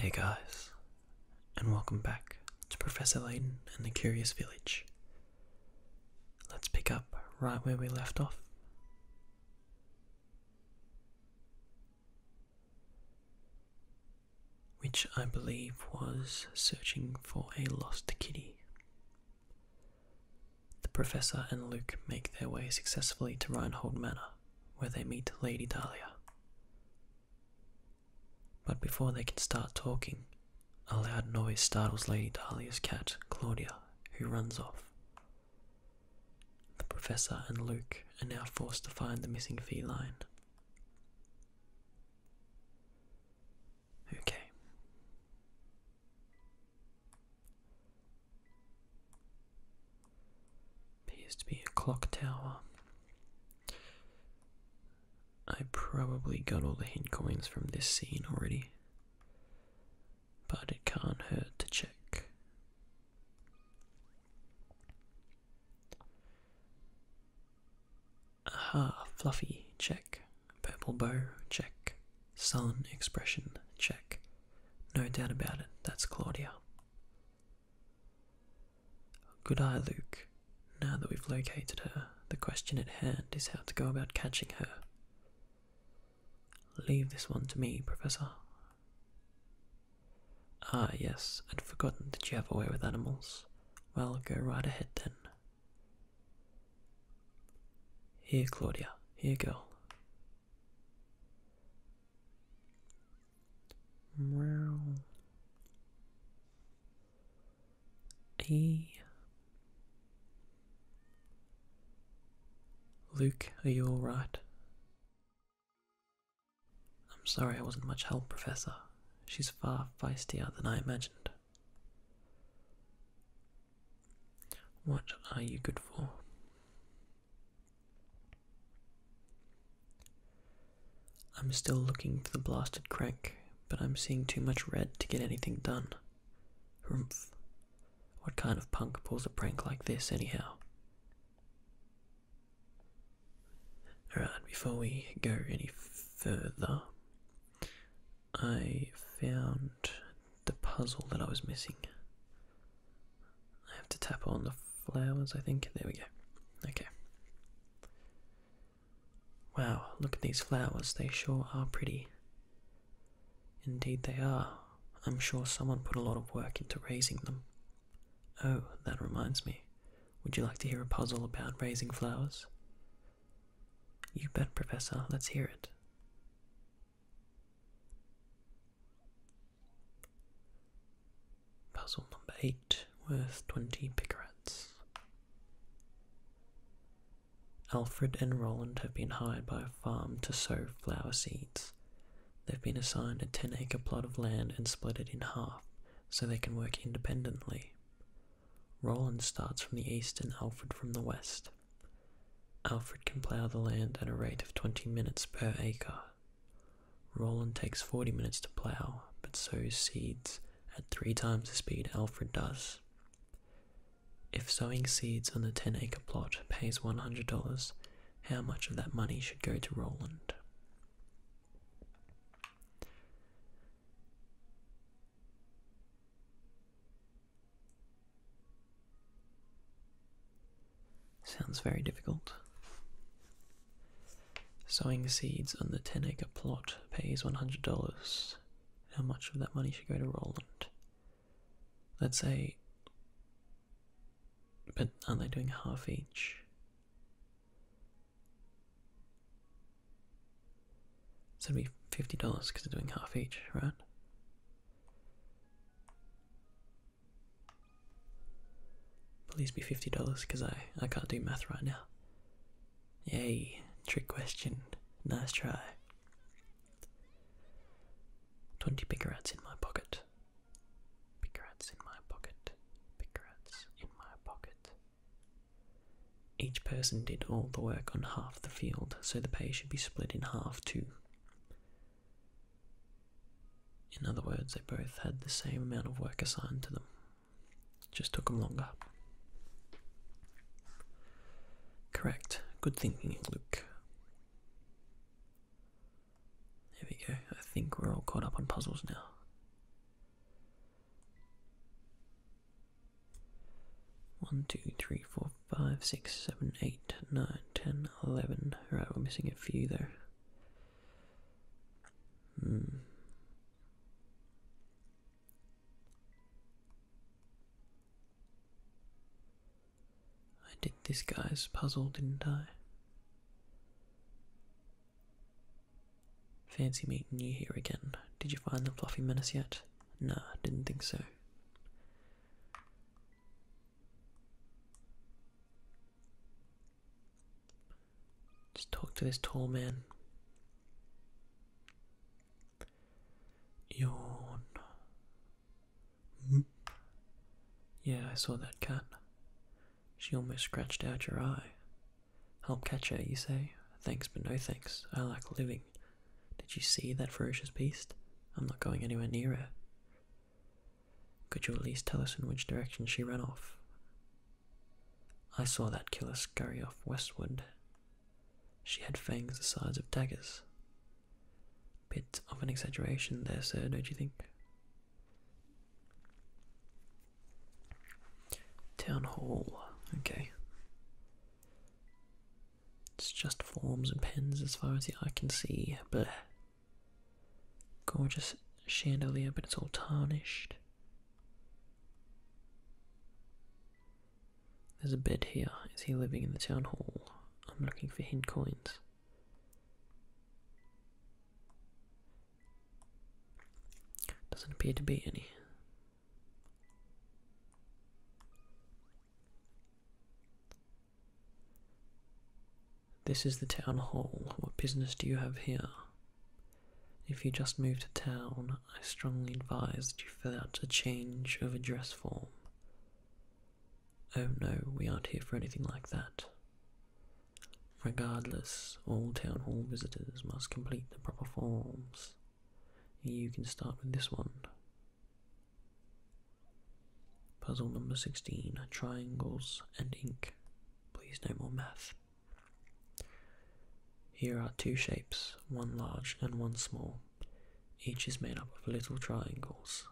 Hey guys, and welcome back to Professor Layton and the Curious Village. Let's pick up right where we left off which I believe was searching for a lost kitty. The professor and Luke make their way successfully to Reinhold Manor, where they meet Lady Dahlia. But before they can start talking, a loud noise startles Lady Dahlia's cat, Claudia, who runs off. The professor and Luke are now forced to find the missing feline Okay. Appears to be a clock tower. I probably got all the hint coins from this scene already, but it can't hurt to check. Aha, fluffy, check. Purple bow, check. Sun expression, check. No doubt about it, that's Claudia. Good eye, Luke. Now that we've located her, the question at hand is how to go about catching her. Leave this one to me, Professor. Ah, yes, I'd forgotten that you have a way with animals. Well, go right ahead then. Here, Claudia, here, girl. Wow. E. Luke, are you alright? I'm sorry I wasn't much help, Professor. She's far feistier than I imagined. What are you good for? I'm still looking for the blasted crank, but I'm seeing too much red to get anything done. Hrumph. What kind of punk pulls a prank like this, anyhow? Alright, before we go any further, I found the puzzle that I was missing. I have to tap on the flowers, I think. There we go. Okay. Wow, look at these flowers. They sure are pretty. Indeed, they are. I'm sure someone put a lot of work into raising them. Oh, that reminds me. Would you like to hear a puzzle about raising flowers? You bet, Professor. Let's hear it. Puzzle number eight, worth 20 picarets. Alfred and Roland have been hired by a farm to sow flower seeds. They've been assigned a 10 acre plot of land and split it in half so they can work independently. Roland starts from the east and Alfred from the west. Alfred can plough the land at a rate of 20 minutes per acre. Roland takes 40 minutes to plough, but sows seeds at three times the speed Alfred does. If sowing seeds on the 10 acre plot pays $100, how much of that money should go to Roland? Sounds very difficult. Sowing seeds on the 10 acre plot pays $100. How much of that money should go to Roland? Let's say but are they doing half each? So it'd be fifty dollars because they're doing half each, right? Please be fifty dollars because I I can't do math right now. Yay! Trick question. Nice try. Twenty big rats in my pocket. Big in my pocket. Big in my pocket. Each person did all the work on half the field, so the pay should be split in half too. In other words, they both had the same amount of work assigned to them. just took them longer. Correct. Good thinking, Luke. There we go. I think we're all caught up on puzzles now. One, two, three, four, five, six, seven, eight, nine, ten, eleven. Right, we're missing a few there. Hmm. I did this guy's puzzle, didn't I? Fancy meeting you here again. Did you find the fluffy menace yet? Nah, didn't think so. Just talk to this tall man. Yawn. -hmm. Yeah, I saw that cat. She almost scratched out your eye. Help catch her, you say? Thanks, but no thanks. I like living. Did you see that ferocious beast? I'm not going anywhere near her. Could you at least tell us in which direction she ran off? I saw that killer scurry off westward. She had fangs the size of daggers. Bit of an exaggeration there, sir, don't you think? Town hall, okay. It's just forms and pens as far as the eye can see. Blech. Gorgeous chandelier, but it's all tarnished. There's a bed here. Is he living in the town hall? I'm looking for hint coins. Doesn't appear to be any. This is the town hall. What business do you have here? If you just moved to town, I strongly advise you fill out a change of address form. Oh no, we aren't here for anything like that. Regardless, all town hall visitors must complete the proper forms. You can start with this one. Puzzle number 16 Triangles and Ink. Please, no more math. Here are two shapes, one large and one small. Each is made up of little triangles.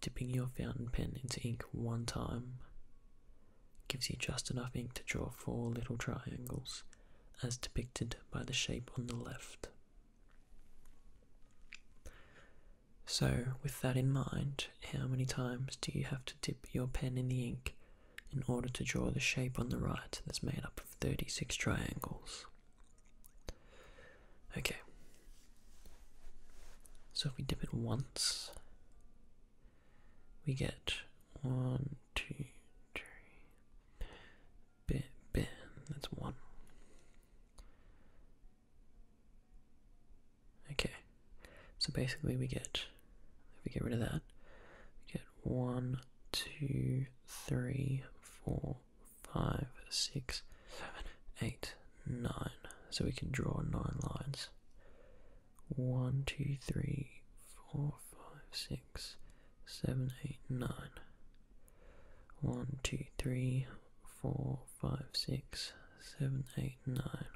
Dipping your fountain pen into ink one time gives you just enough ink to draw four little triangles as depicted by the shape on the left. So, with that in mind, how many times do you have to dip your pen in the ink in order to draw the shape on the right that's made up of 36 triangles? Okay, so if we dip it once, we get one, two, three, bit, bit, that's one. Okay, so basically we get, if we get rid of that, we get one, two, three, four, five, six, seven, eight, nine. So we can draw nine lines. One, two, three, four, five, six, seven, eight, nine. One, two, three, four, five, six, seven, eight, nine.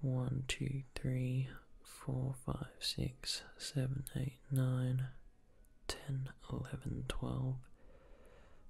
One, two, three, four, five, six, seven, eight, nine, ten, eleven, twelve,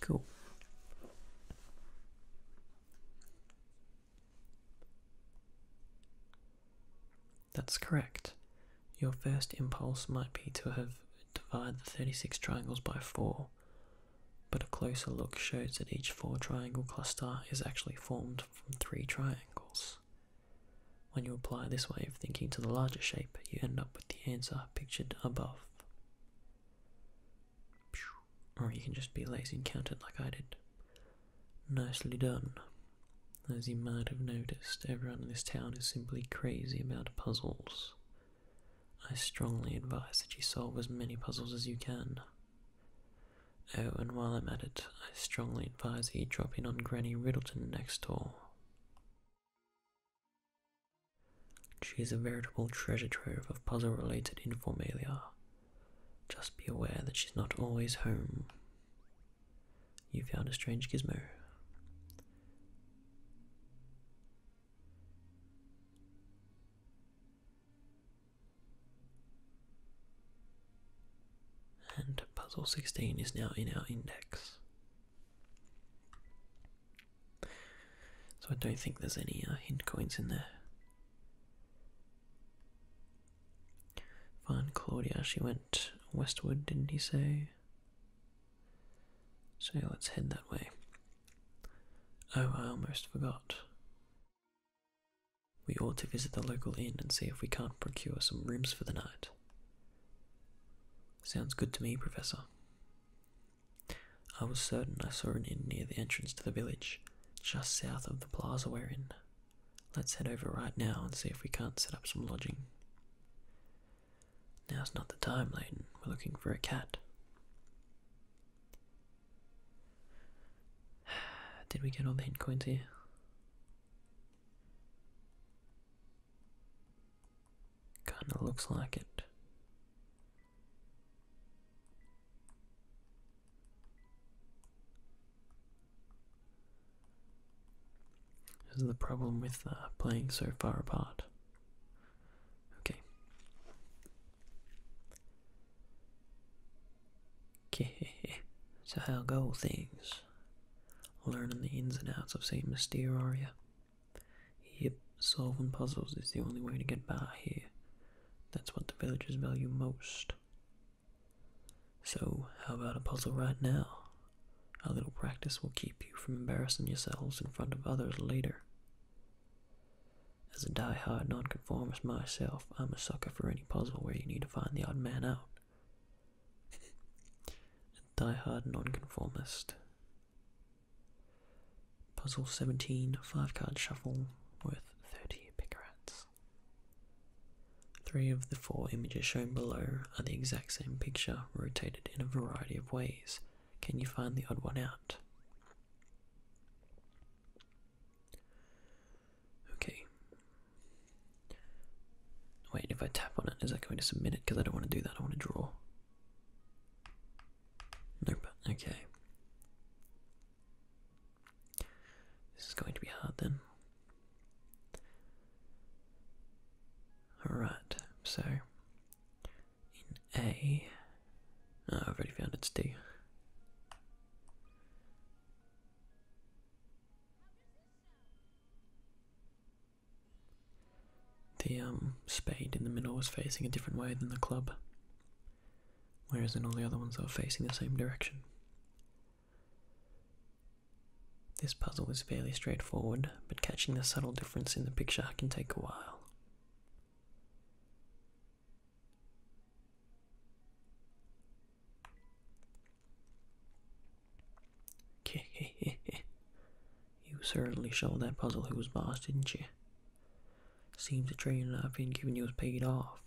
Cool. That's correct. Your first impulse might be to have divided the 36 triangles by 4, but a closer look shows that each 4 triangle cluster is actually formed from 3 triangles. When you apply this way of thinking to the larger shape, you end up with the answer pictured above. Or you can just be lazy and count it like I did. Nicely done. As you might have noticed, everyone in this town is simply crazy about puzzles. I strongly advise that you solve as many puzzles as you can. Oh, and while I'm at it, I strongly advise you drop in on Granny Riddleton next door. She is a veritable treasure trove of puzzle related informelia. Just be aware that she's not always home. You found a strange gizmo. And puzzle 16 is now in our index. So I don't think there's any uh, hint coins in there. Fine, Claudia, she went westward, didn't he say? So let's head that way. Oh, I almost forgot. We ought to visit the local inn and see if we can't procure some rooms for the night. Sounds good to me, Professor. I was certain I saw an inn near the entrance to the village, just south of the plaza we're in. Let's head over right now and see if we can't set up some lodging. Now's not the time, Layton. We're looking for a cat. Did we get all the hint coins here? Kinda looks like it is the problem with uh, playing so far apart. Okay. Okay, so how go things? Learning the ins and outs of St. are you? Yep, solving puzzles is the only way to get by here. That's what the villagers value most. So, how about a puzzle right now? A little practice will keep you from embarrassing yourselves in front of others later. As a die-hard nonconformist myself, I'm a sucker for any puzzle where you need to find the odd man out. a die-hard nonconformist. Puzzle 17, 5 card shuffle worth 30 Pickerats. Three of the four images shown below are the exact same picture rotated in a variety of ways. Can you find the odd one out? Okay. Wait, if I tap on it, is that going to submit it? Because I don't want to do that, I want to draw. Nope, okay. This is going to be hard then. Alright, so in A, have already found it's D. The um, spade in the middle was facing a different way than the club, whereas in all the other ones they were facing the same direction. This puzzle is fairly straightforward, but catching the subtle difference in the picture can take a while. You certainly solved that puzzle who was boss, didn't you? Seems the training I've been giving you has paid off.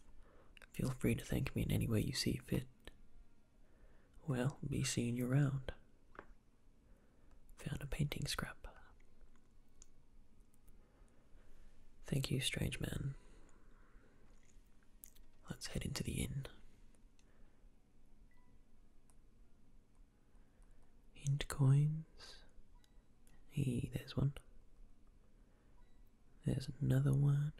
Feel free to thank me in any way you see fit. Well, be seeing you around. Found a painting scrap. Thank you, strange man. Let's head into the inn. Hint coins. Hey, there's one. There's another one.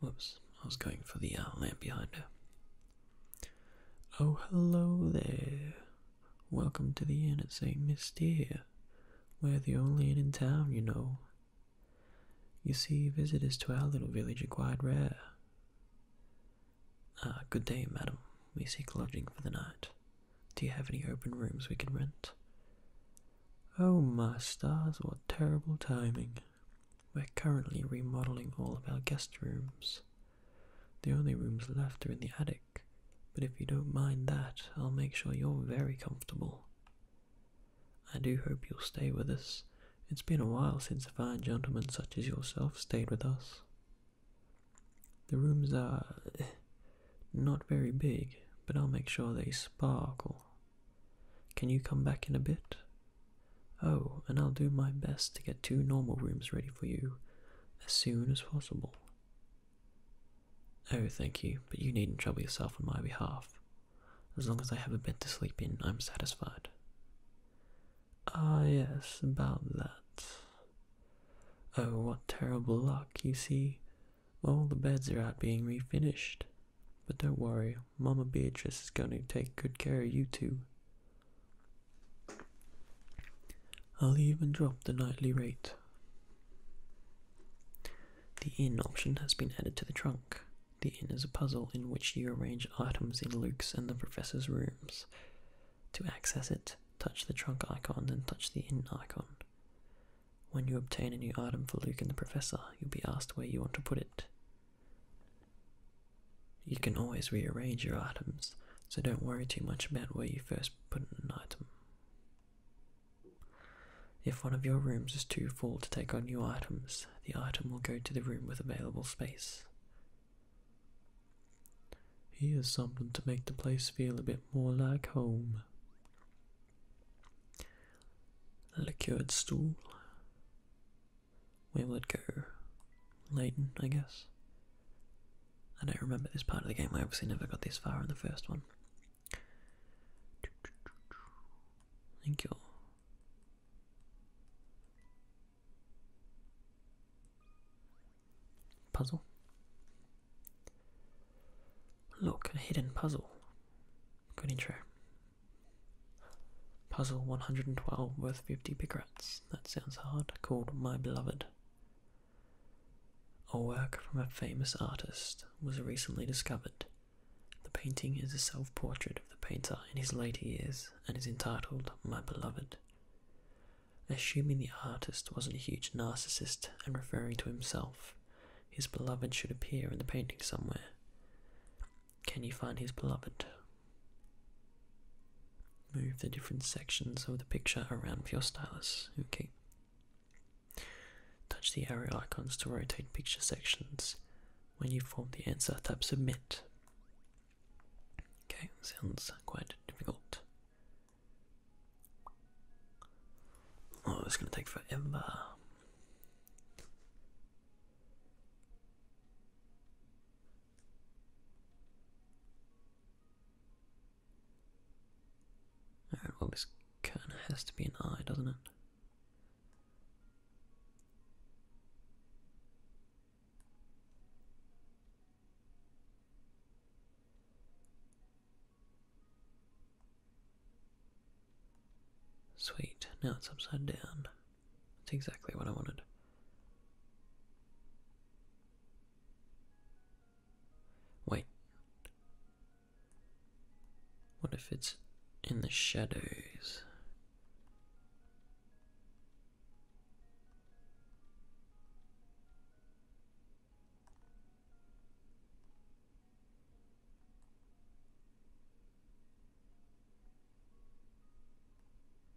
Whoops, I was going for the uh, lamp behind her. Oh, hello there. Welcome to the inn at St. Mystere. We're the only inn in town, you know. You see, visitors to our little village are quite rare. Ah, good day, madam. We seek lodging for the night. Do you have any open rooms we can rent? Oh, my stars, what terrible timing. We're currently remodeling all of our guest rooms. The only rooms left are in the attic but if you don't mind that, I'll make sure you're very comfortable. I do hope you'll stay with us. It's been a while since a fine gentleman such as yourself stayed with us. The rooms are not very big, but I'll make sure they sparkle. Can you come back in a bit? Oh, and I'll do my best to get two normal rooms ready for you, as soon as possible. Oh, thank you, but you needn't trouble yourself on my behalf. As long as I have a bed to sleep in, I'm satisfied. Ah, yes, about that. Oh, what terrible luck, you see. All the beds are out being refinished. But don't worry, Mamma Beatrice is going to take good care of you two. I'll even drop the nightly rate. The in option has been added to the trunk. The inn is a puzzle in which you arrange items in Luke's and the professor's rooms. To access it, touch the trunk icon, then touch the inn icon. When you obtain a new item for Luke and the professor, you'll be asked where you want to put it. You can always rearrange your items, so don't worry too much about where you first put an item. If one of your rooms is too full to take on new items, the item will go to the room with available space. Here's something to make the place feel a bit more like home. A lacquered stool. Where will it go? Layton, I guess. I don't remember this part of the game. I obviously never got this far in the first one. Thank you Puzzle. Look, a hidden puzzle. Good intro. Puzzle 112 worth 50 big That sounds hard. Called My Beloved. A work from a famous artist was recently discovered. The painting is a self portrait of the painter in his later years and is entitled My Beloved. Assuming the artist wasn't a huge narcissist and referring to himself, his beloved should appear in the painting somewhere. Can you find his beloved? Move the different sections of the picture around with your stylus. Okay. Touch the arrow icons to rotate picture sections. When you form the answer, tap submit. Okay, sounds quite difficult. Oh, it's gonna take forever. Alright, well this kinda has to be an eye, doesn't it? Sweet, now it's upside down. That's exactly what I wanted. Wait. What if it's in the shadows?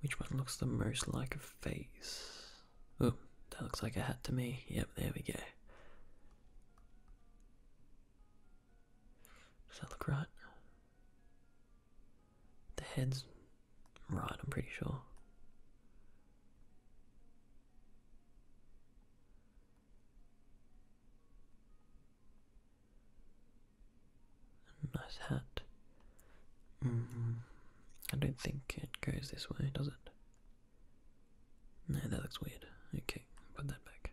Which one looks the most like a face? Oh, that looks like a hat to me. Yep, there we go. Does that look right? The head's right, I'm pretty sure. Nice hat. Mm-hmm. I don't think it goes this way, does it? No, that looks weird. Okay, put that back.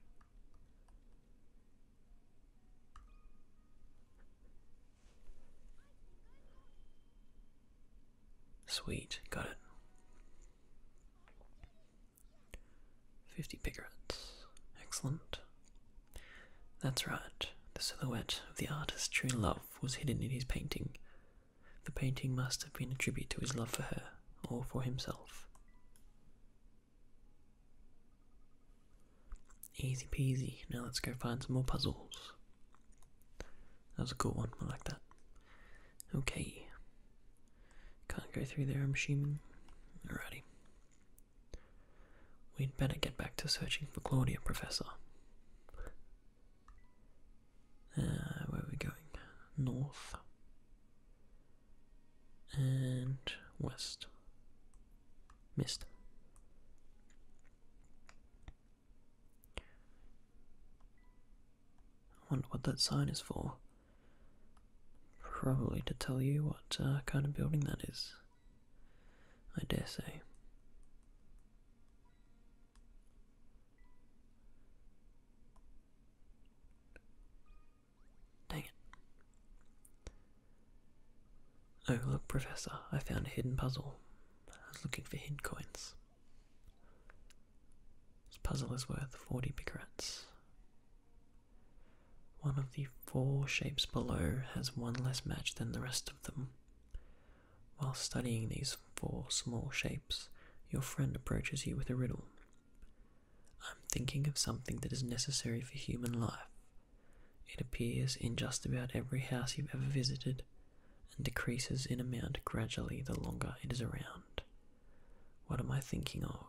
Sweet, got it. 50 piglets. Excellent. That's right, the silhouette of the artist true love was hidden in his painting. The painting must have been a tribute to his love for her, or for himself. Easy peasy, now let's go find some more puzzles. That was a cool one, I like that. Okay. Can't go through there, I'm assuming. Alrighty. We'd better get back to searching for Claudia, Professor. Uh, where we going? North and west. Missed. I wonder what that sign is for. Probably to tell you what uh, kind of building that is. I dare say. Dang it. Oh, look, Professor, I found a hidden puzzle. I was looking for hidden coins. This puzzle is worth 40 picarats. One of the four shapes below has one less match than the rest of them. While studying these four small shapes, your friend approaches you with a riddle. I'm thinking of something that is necessary for human life. It appears in just about every house you've ever visited and decreases in amount gradually the longer it is around. What am I thinking of?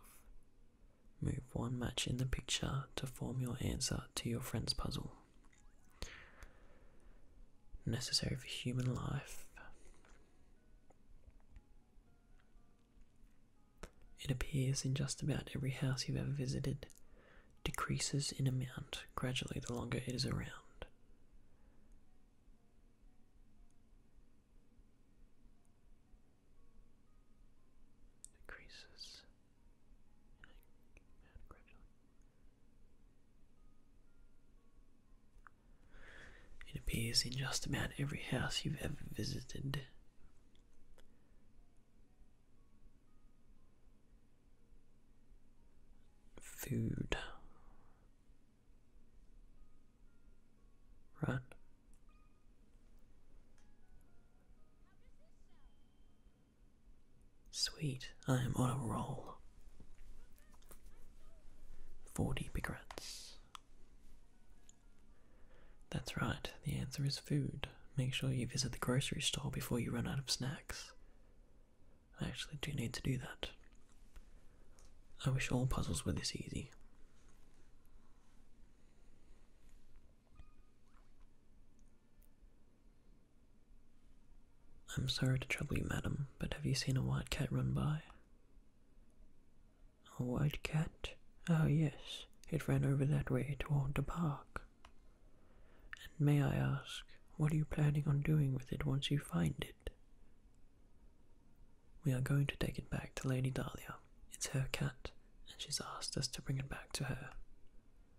Move one match in the picture to form your answer to your friend's puzzle necessary for human life. It appears in just about every house you've ever visited, decreases in amount gradually the longer it is around. Decreases it appears in just about every house you've ever visited. Food. Right? Sweet, I am on a roll. Forty pigrats. That's right, the answer is food. Make sure you visit the grocery store before you run out of snacks. I actually do need to do that. I wish all puzzles were this easy. I'm sorry to trouble you, madam, but have you seen a white cat run by? A white cat? Oh, yes, it ran over that way toward the park. And may I ask, what are you planning on doing with it once you find it? We are going to take it back to Lady Dahlia. It's her cat, and she's asked us to bring it back to her.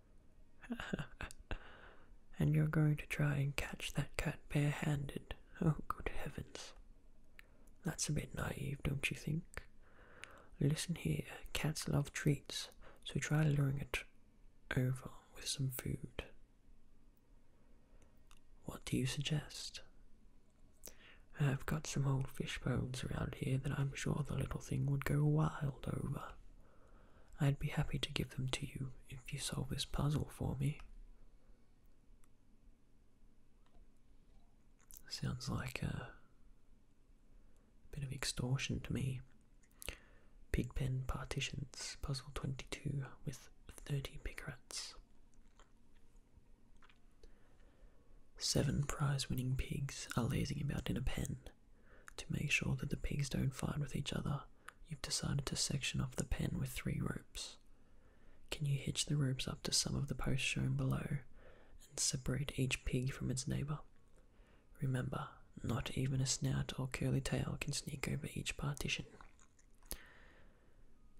and you're going to try and catch that cat barehanded. Oh, good heavens. That's a bit naive, don't you think? Listen here, cats love treats, so try luring it over with some food. What do you suggest? I've got some old fish bones around here that I'm sure the little thing would go wild over. I'd be happy to give them to you if you solve this puzzle for me. Sounds like a bit of extortion to me. Pigpen partitions, puzzle 22 with 30 pig Seven prize winning pigs are lazing about in a pen. To make sure that the pigs don't fight with each other, you've decided to section off the pen with three ropes. Can you hitch the ropes up to some of the posts shown below and separate each pig from its neighbour? Remember, not even a snout or curly tail can sneak over each partition.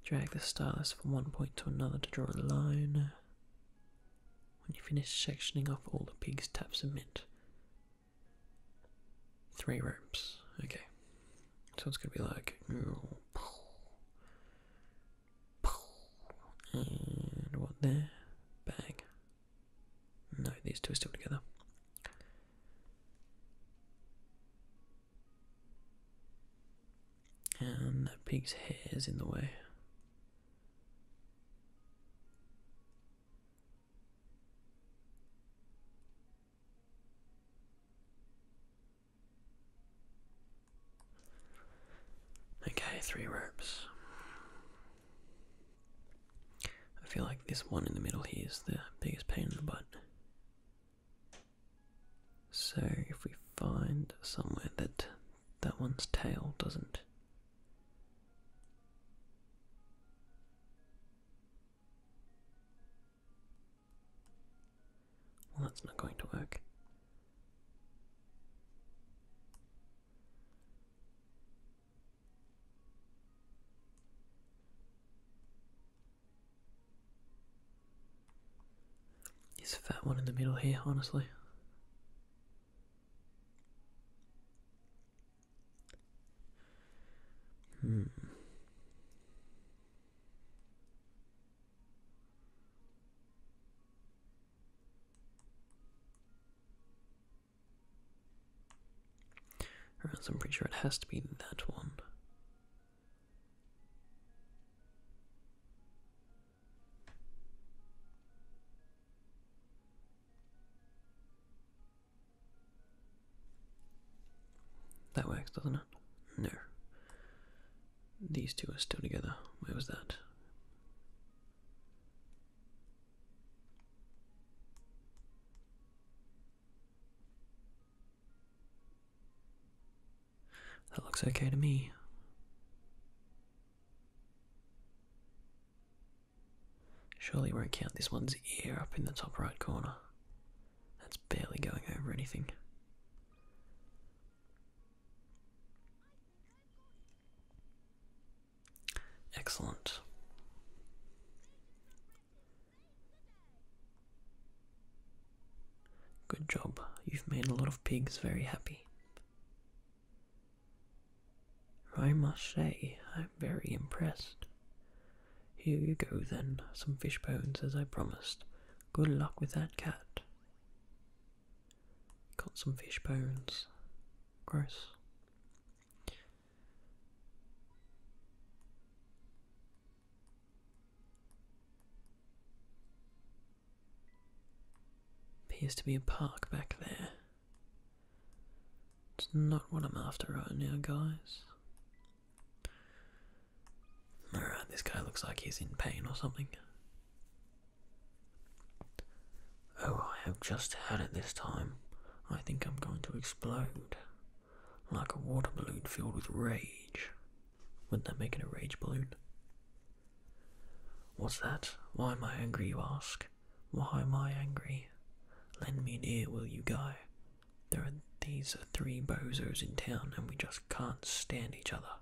Drag the stylus from one point to another to draw a line. When you finish sectioning off all the pigs, tap submit. Three ropes. Okay. So it's gonna be like and what there? bag. No, these two are still together. And that pig's hair is in the way. Okay, three ropes. I feel like this one in the middle here is the biggest pain in the butt. So if we find somewhere that that one's tail doesn't well, that's not going to work. a fat one in the middle here, honestly. Hmm. I'm pretty sure it has to be that one. That works, doesn't it? No. These two are still together. Where was that? That looks okay to me. Surely won't count this one's ear up in the top right corner. That's barely going over anything. Excellent. Good job. You've made a lot of pigs very happy. I must say, I'm very impressed. Here you go, then, some fish bones as I promised. Good luck with that cat. Got some fish bones. Gross. Appears to be a park back there. It's not what I'm after right now, guys. Alright, this guy looks like he's in pain or something. Oh, I have just had it this time. I think I'm going to explode. Like a water balloon filled with rage. Wouldn't that make it a rage balloon? What's that? Why am I angry, you ask? Why am I angry? Lend me an ear, will you, Guy? There are these three bozos in town, and we just can't stand each other.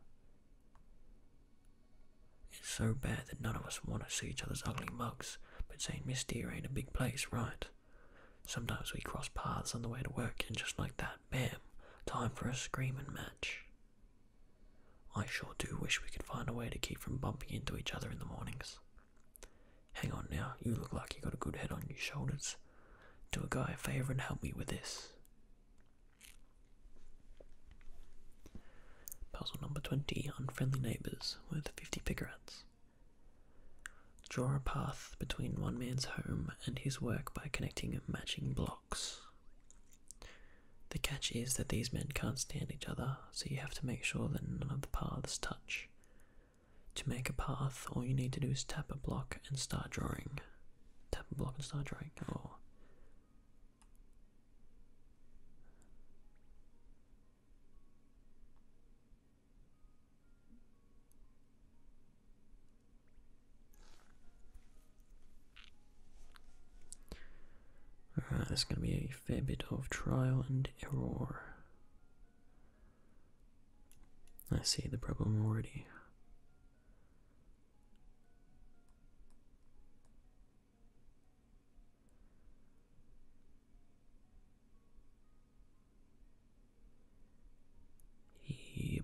It's so bad that none of us want to see each other's ugly mugs, but St. Mystere ain't a big place, right? Sometimes we cross paths on the way to work, and just like that, bam, time for a screaming match. I sure do wish we could find a way to keep from bumping into each other in the mornings. Hang on now, you look like you got a good head on your shoulders. Do a guy a favour and help me with this. Puzzle number 20 Unfriendly Neighbours with 50 picarats. Draw a path between one man's home and his work by connecting matching blocks. The catch is that these men can't stand each other so you have to make sure that none of the paths touch. To make a path, all you need to do is tap a block and start drawing. Tap a block and start drawing, or. Oh. this is going to be a fair bit of trial and error. I see the problem already. Yep.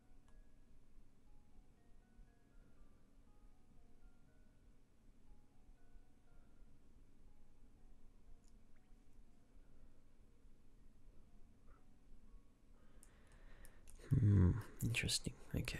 Hmm, interesting. Okay.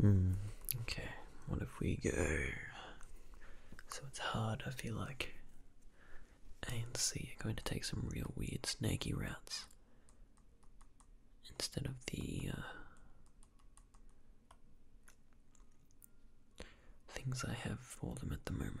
Hmm. Okay. What if we go? So it's hard. I feel like A and C are going to take some real weird snaky routes instead of the uh, things I have for them at the moment.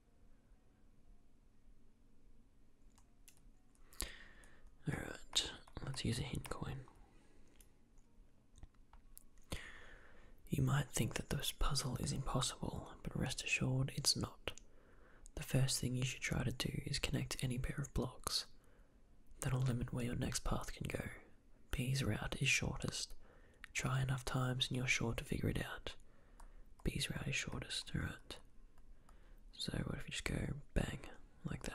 Alright, let's use a hint coin. You might think that this puzzle is impossible, but rest assured it's not. The first thing you should try to do is connect any pair of blocks. That'll limit where your next path can go. B's route is shortest, Try enough times and you're sure to figure it out. B's route is shortest, alright. So what if we just go bang, like that?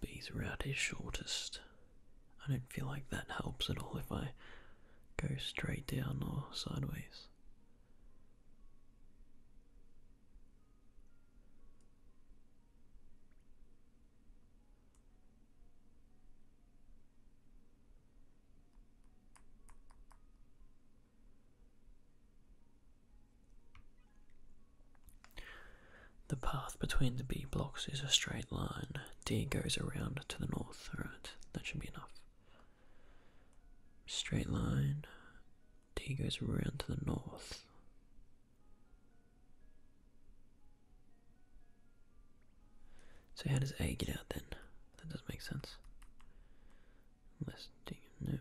B's route is shortest. I don't feel like that helps at all if I go straight down or sideways. The path between the B blocks is a straight line. D goes around to the north. Alright, that should be enough. Straight line. D goes around to the north. So how does A get out then? That doesn't make sense. Unless D, no.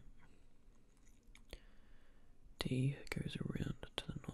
D goes around to the north.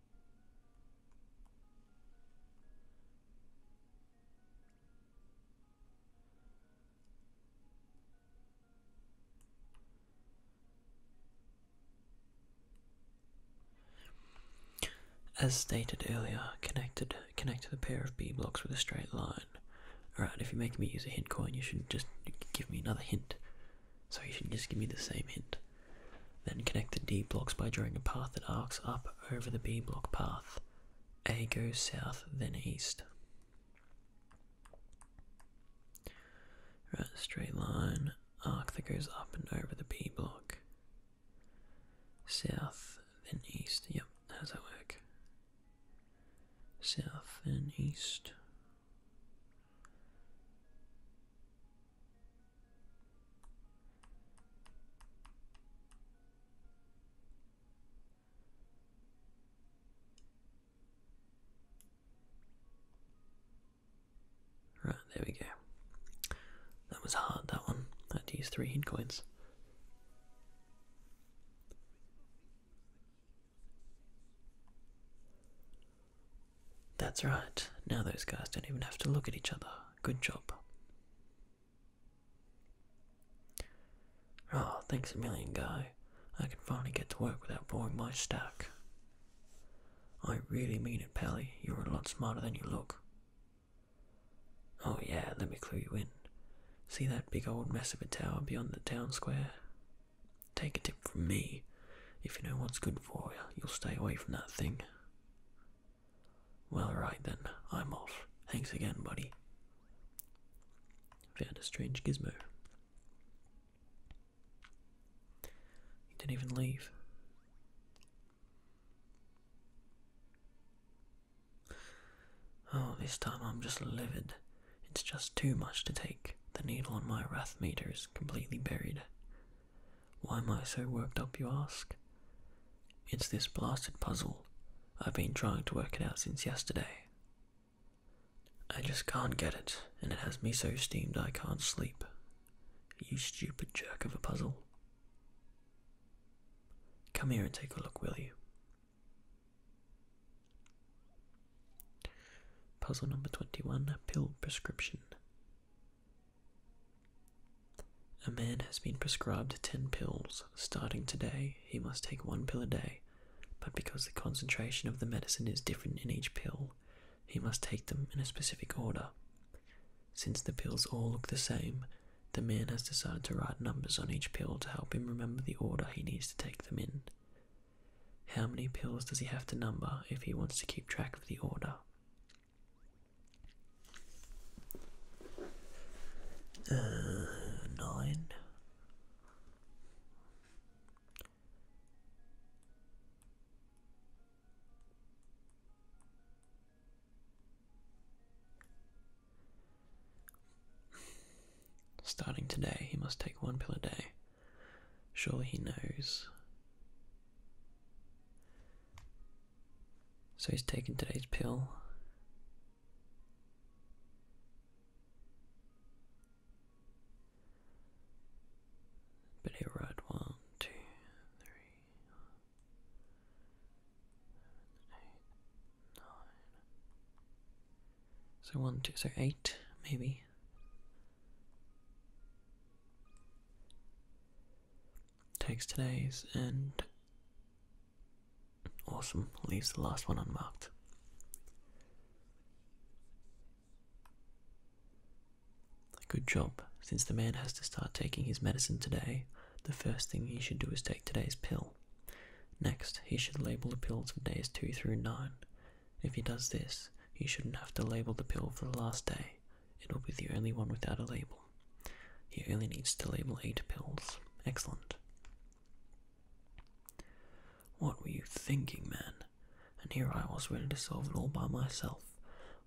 As stated earlier, connected connect the pair of B blocks with a straight line. Alright, if you're making me use a hint coin, you should just give me another hint so you should just give me the same hint. Then connect the D blocks by drawing a path that arcs up over the B block path. A goes south, then east. Right, straight line, arc that goes up and over the B block. South, then east. Yep, how's that work? South and east. Right, there we go. That was hard, that one. I had to use three hit coins. That's right. Now those guys don't even have to look at each other. Good job. Oh, thanks a million, guy. I can finally get to work without boring my stack. I really mean it, Pally. You're a lot smarter than you look. Oh, yeah, let me clue you in. See that big old mess of a tower beyond the town square? Take a tip from me. If you know what's good for you, you'll stay away from that thing. Well, right then, I'm off. Thanks again, buddy. Found a strange gizmo. He didn't even leave. Oh, this time I'm just livid. It's just too much to take. The needle on my wrath meters completely buried. Why am I so worked up, you ask? It's this blasted puzzle. I've been trying to work it out since yesterday. I just can't get it, and it has me so steamed I can't sleep. You stupid jerk of a puzzle. Come here and take a look, will you? Puzzle number 21 Pill Prescription. A man has been prescribed 10 pills. Starting today, he must take one pill a day, but because the concentration of the medicine is different in each pill, he must take them in a specific order. Since the pills all look the same, the man has decided to write numbers on each pill to help him remember the order he needs to take them in. How many pills does he have to number if he wants to keep track of the order? Uh, nine. Starting today, he must take one pill a day. Sure, he knows. So he's taken today's pill. But he'll write So one, two, so eight, maybe. Takes today's and awesome leaves the last one unmarked. Good job. Since the man has to start taking his medicine today, the first thing he should do is take today's pill. Next, he should label the pills of days 2 through 9 if he does this, he shouldn't have to label the pill for the last day. It will be the only one without a label. He only needs to label eight pills. Excellent. What were you thinking, man? And here I was ready to solve it all by myself.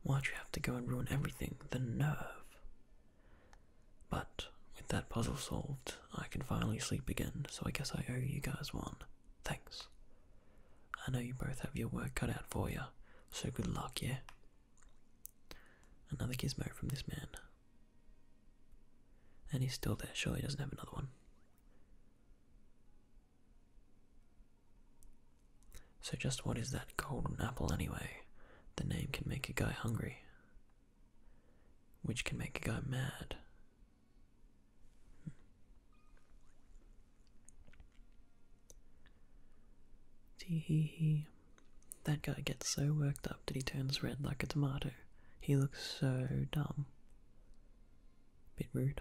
Why'd you have to go and ruin everything? The nerve! But with that puzzle solved, I can finally sleep again, so I guess I owe you guys one. Thanks. I know you both have your work cut out for you, so good luck, yeah? Another gizmo from this man. And he's still there, surely he doesn't have another one. So, just what is that golden apple anyway? The name can make a guy hungry, which can make a guy mad, Tee That guy gets so worked up that he turns red like a tomato. He looks so dumb. Bit rude.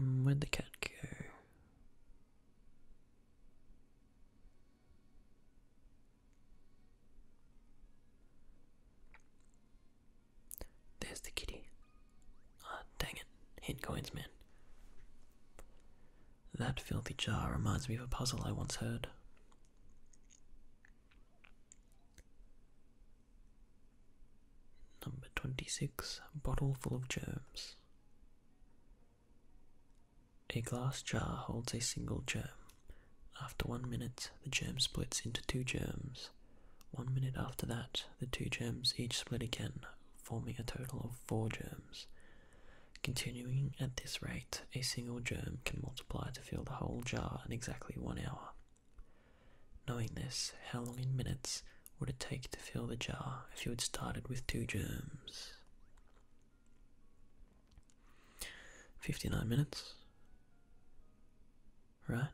Mm, where'd the cat go? There's the kitty. Ah, dang it. Hint coins, man. That filthy jar reminds me of a puzzle I once heard. Number 26. Bottle full of germs. A glass jar holds a single germ. After one minute, the germ splits into two germs. One minute after that, the two germs each split again, forming a total of four germs. Continuing at this rate, a single germ can multiply to fill the whole jar in exactly one hour. Knowing this, how long in minutes would it take to fill the jar if you had started with two germs? 59 minutes right?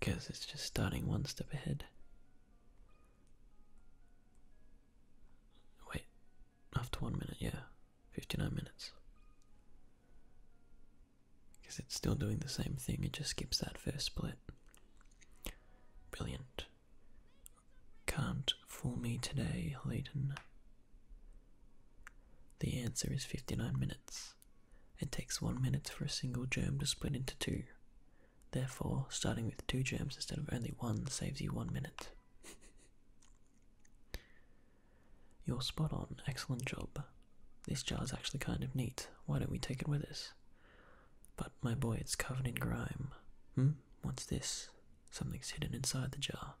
Because it's just starting one step ahead. Wait, after one minute, yeah, 59 minutes. Because it's still doing the same thing, it just skips that first split. Brilliant. Can't fool me today, Leighton. The answer is 59 minutes. It takes 1 minute for a single germ to split into two. Therefore, starting with two germs instead of only one saves you 1 minute. You're spot on, excellent job. This jar's actually kind of neat. Why don't we take it with us? But my boy, it's covered in grime. Hmm? What's this? Something's hidden inside the jar.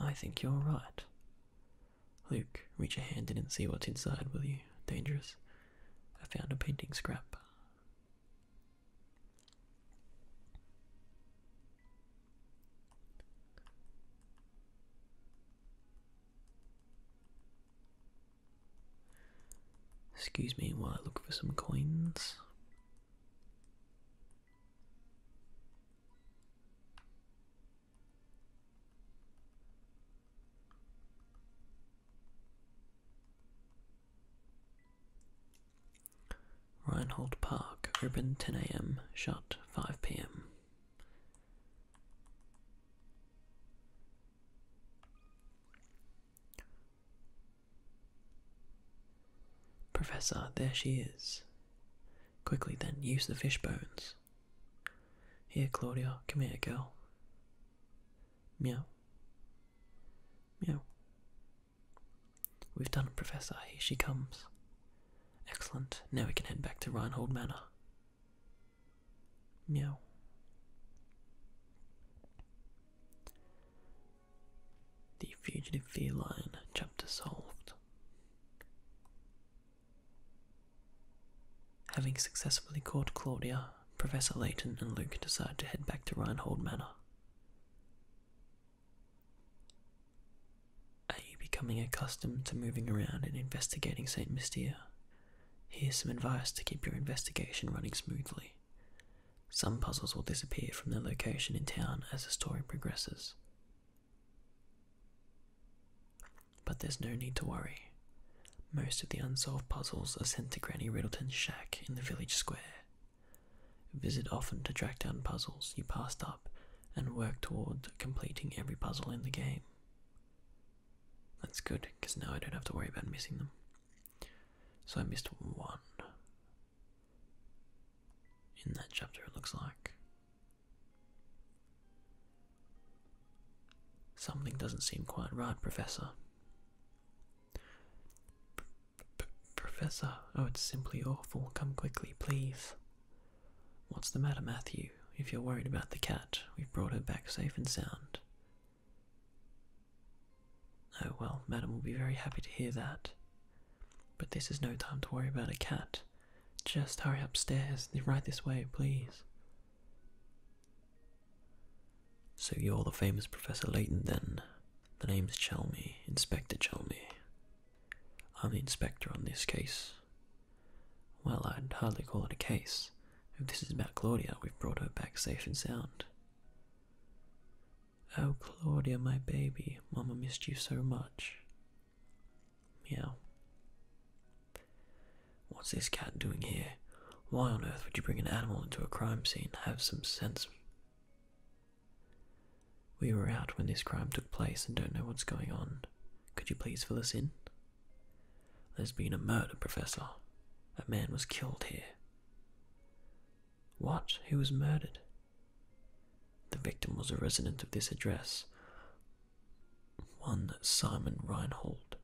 I think you're right. Luke, reach a hand in and see what's inside, will you? Dangerous. I found a painting scrap. Excuse me while I look for some coins. Reinhold Park, open 10 a.m., shut 5 p.m. Professor, there she is. Quickly then, use the fish bones. Here, Claudia, come here, girl. Meow. Meow. We've done Professor. Here she comes. Excellent. Now we can head back to Reinhold Manor. Meow. The Fugitive feline Line, Chapter Solved. Having successfully caught Claudia, Professor Layton and Luke decide to head back to Reinhold Manor. Are you becoming accustomed to moving around and investigating St. Mystia? Here's some advice to keep your investigation running smoothly. Some puzzles will disappear from their location in town as the story progresses, but there's no need to worry. Most of the unsolved puzzles are sent to Granny Riddleton's shack in the village square. Visit often to track down puzzles you passed up and work toward completing every puzzle in the game. That's good, because now I don't have to worry about missing them. So I missed one in that chapter, it looks like. Something doesn't seem quite right, Professor. Professor, oh, it's simply awful. Come quickly, please. What's the matter, Matthew? If you're worried about the cat, we've brought her back safe and sound. Oh, well, Madam will be very happy to hear that. But this is no time to worry about a cat. Just hurry upstairs. Right this way, please. So you're the famous Professor Layton, then? The name's Chalmy, Inspector Chalmy. I'm the inspector on this case. Well, I'd hardly call it a case. If this is about Claudia, we've brought her back safe and sound. Oh, Claudia, my baby, Mama missed you so much. Meow. What's this cat doing here? Why on earth would you bring an animal into a crime scene? Have some sense. We were out when this crime took place and don't know what's going on. Could you please fill us in? There's been a murder, Professor. A man was killed here. What? Who was murdered? The victim was a resident of this address, one Simon Reinhold.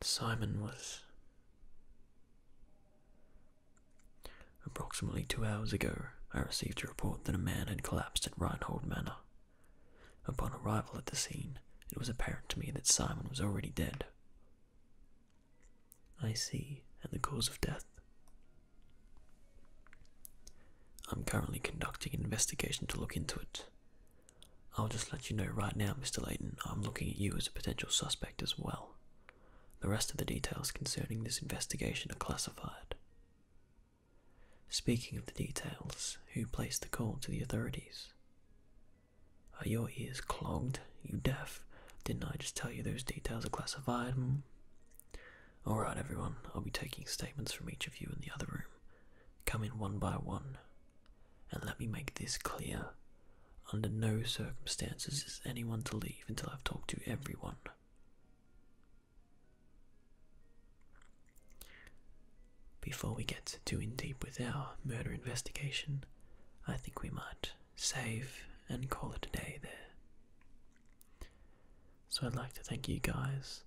Simon was. Approximately two hours ago, I received a report that a man had collapsed at Reinhold Manor. Upon arrival at the scene, it was apparent to me that Simon was already dead. I see, and the cause of death I'm currently conducting an investigation to look into it. I'll just let you know right now, Mr. Layton, I'm looking at you as a potential suspect as well. The rest of the details concerning this investigation are classified. Speaking of the details, who placed the call to the authorities? Are your ears clogged? You deaf? Didn't I just tell you those details are classified? Hmm? Alright, everyone, I'll be taking statements from each of you in the other room. Come in one by one. And let me make this clear. Under no circumstances is anyone to leave until I've talked to everyone. Before we get too in deep with our murder investigation, I think we might save and call it a day there. So I'd like to thank you guys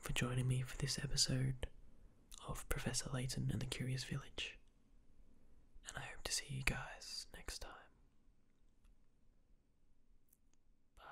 for joining me for this episode of Professor Layton and the Curious Village. And I hope to see you guys next time. Bye.